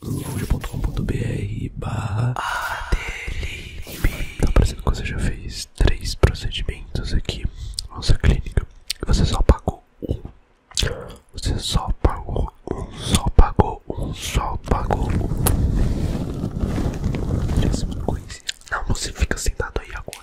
lounge.com.br barra Tá parecendo que você já fez três procedimentos aqui na sua clínica e você só pagou um. Você só pagou um, só pagou um, só pagou um. não Não, você fica sentado aí agora.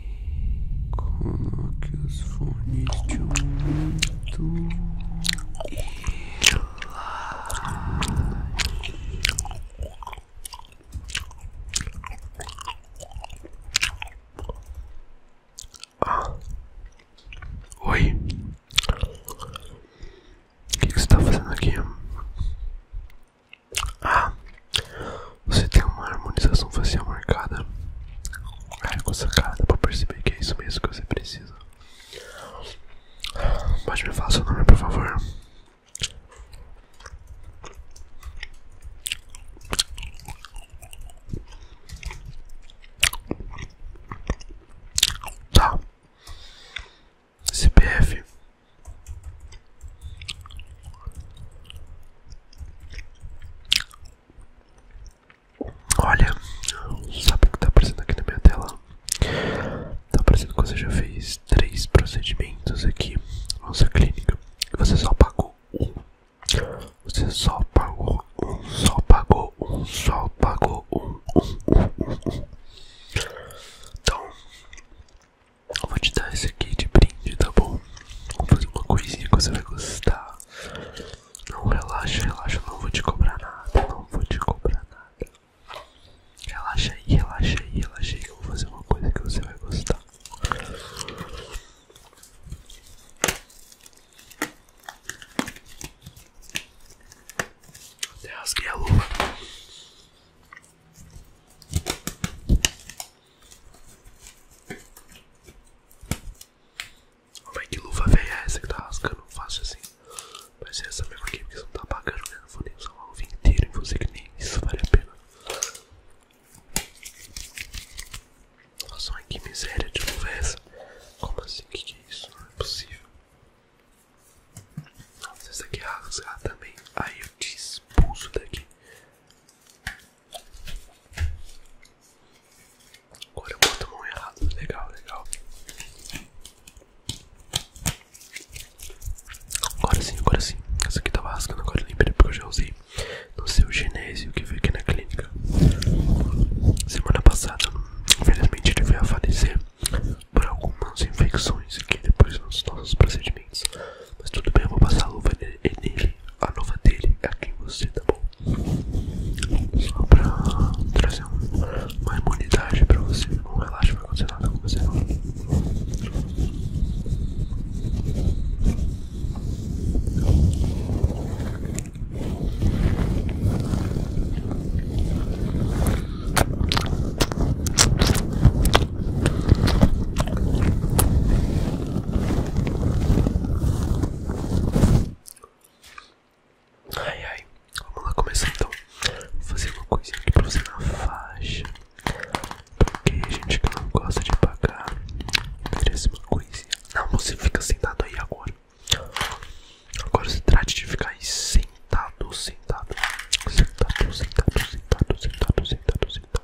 Coloque os fones e relaxe. Oi. O que, que você tá fazendo aqui? Ah. Você tem uma harmonização facial marcada. Ai, com essa pra perceber que é isso mesmo que você precisa. Pode me falar seu nome, por favor. Tá. CPF. Olha, sabe o que está aparecendo aqui na minha tela? Está aparecendo que você já fez três procedimentos aqui na nossa clínica. E você só pagou um. Você só pagou um, só pagou um, só pagou um, Então, eu vou te dar esse aqui de brinde, tá bom? Vou fazer uma coisinha que você vai gostar. Não, relaxa, relaxa. Não vou te cobrar nada. Não vou te cobrar nada. Relaxa aí, relaxa aí, relaxa aí. que Eu vou fazer uma coisa que você vai gostar. Até rasguei a luva. Vai que luva velha é essa que tá rascando fácil assim. Mas é essa mesmo aqui, porque você não tá pagando, né? Não vou nem usar uma luva inteira em você que nem isso vale a pena. Nossa, mas que miséria de luva é essa? Como assim? O que, que é isso? Não é possível. Nossa, essa aqui é rasgar também. Aí eu te expulso daqui. Agora eu boto a mão errada. Legal, legal. Agora sim, agora sim. Essa aqui tava rascando, agora eu lembrei porque eu já usei no seu genésio que veio aqui na clínica. Semana passada, infelizmente, ele veio a falecer por algumas infecções que depois nos nossos procedimentos. Mas tudo bem, eu vou passar a luva nele a nova dele aqui é em você, tá bom? Só pra trazer uma imunidade pra você, tá bom? Relaxa, não vai acontecer nada com você não. Ai ai, vamos lá começar então. Vou fazer uma coisinha aqui pra você na faixa. Porque a gente que não gosta de pagar, oferece uma coisinha. Não, você fica sentado aí agora. Agora você trate de ficar aí sentado, sentado, sentado, sentado, sentado, sentado, sentado. sentado.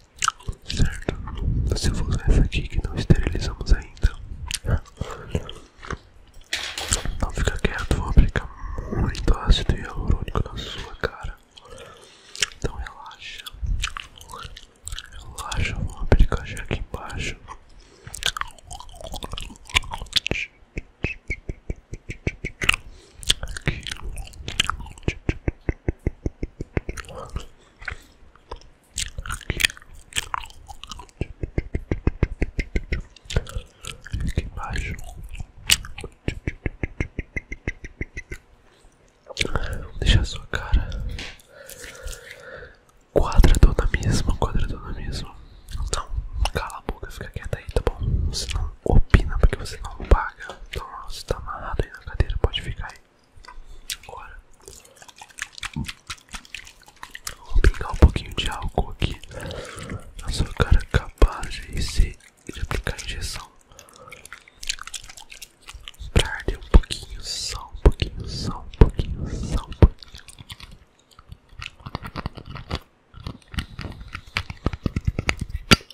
certo? Então, se eu vou usar essa aqui que não esterilizamos ainda, é. não fica quieto, vou aplicar muito ácido hialurônico na sua cara. Então relaxa, relaxa, vou aplicar já aqui embaixo. Aqui embaixo. deixa deixar a sua cara quadradona mesmo, quadradona mesmo. Então, cala a boca, fica quieta aí, tá bom? Você não opina porque você não paga. Então, você tá amarrado aí a cadeira pode ficar aí. Agora, vou brincar um pouquinho de álcool aqui na sua cara capaz de, ser, de aplicar injeção. Pra arder um pouquinho, só um pouquinho, só um pouquinho, só um pouquinho.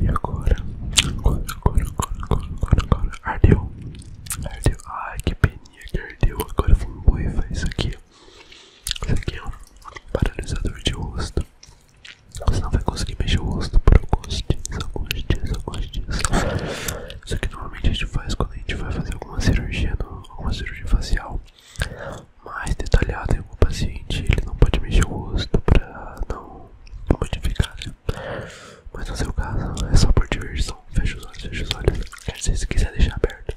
E agora? Agora, agora, agora, agora, agora, agora. Ardeu. Ardeu. Ai, que peninha que ardeu. Agora vamos borrifar isso aqui. Isso aqui é um paralisador de rosto. Você não vai conseguir mexer o rosto por alguns dias, alguns dias, alguns dias. Isso que normalmente a gente faz quando a gente vai fazer alguma cirurgia, alguma cirurgia facial mais detalhada em algum paciente. Ele não pode mexer o rosto pra não modificar, né? Mas no seu caso é só por diversão. feche os olhos, feche os olhos. Quer dizer, se quiser deixar aberto.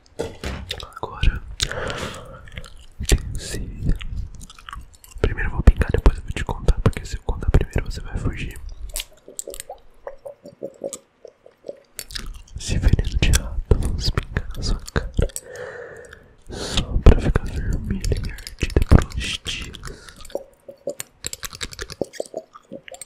Agora Tensei Primeiro vou pingar, depois eu vou te contar Porque se eu contar primeiro você vai fugir Se veneno de rato Vamos pingar na sua cara Só pra ficar vermelha e ardida por uns dias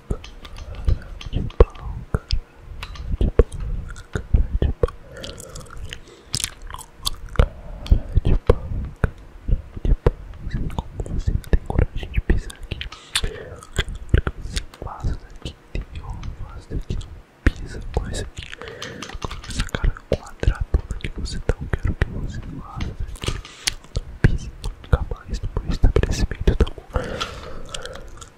de pau, cara de pau, cara de pau, cara de pau, cara de pau. Assim como tipo, você tem coragem de pisar aqui, você faz daqui, entendeu? faz daqui, não pisa com esse aqui, com essa cara quadradona que você tão Eu quero que você faça daqui não pise nunca mais no meu estabelecimento, tá bom?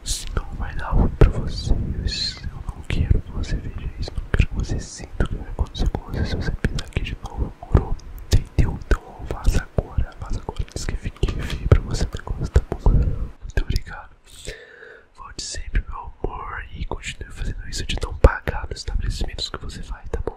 Senão vai dar ruim pra vocês. Eu não quero que você veja isso, não quero que você sinta o que vai acontecer com você se você pisar aqui de novo, moro? Entendeu? Então vaza agora, vaza agora, diz que fiquei feio pra você o negócio, tá bom? Muito obrigado. Volte sempre, meu amor, e continue fazendo isso de não pagar nos estabelecimentos que você vai, tá bom?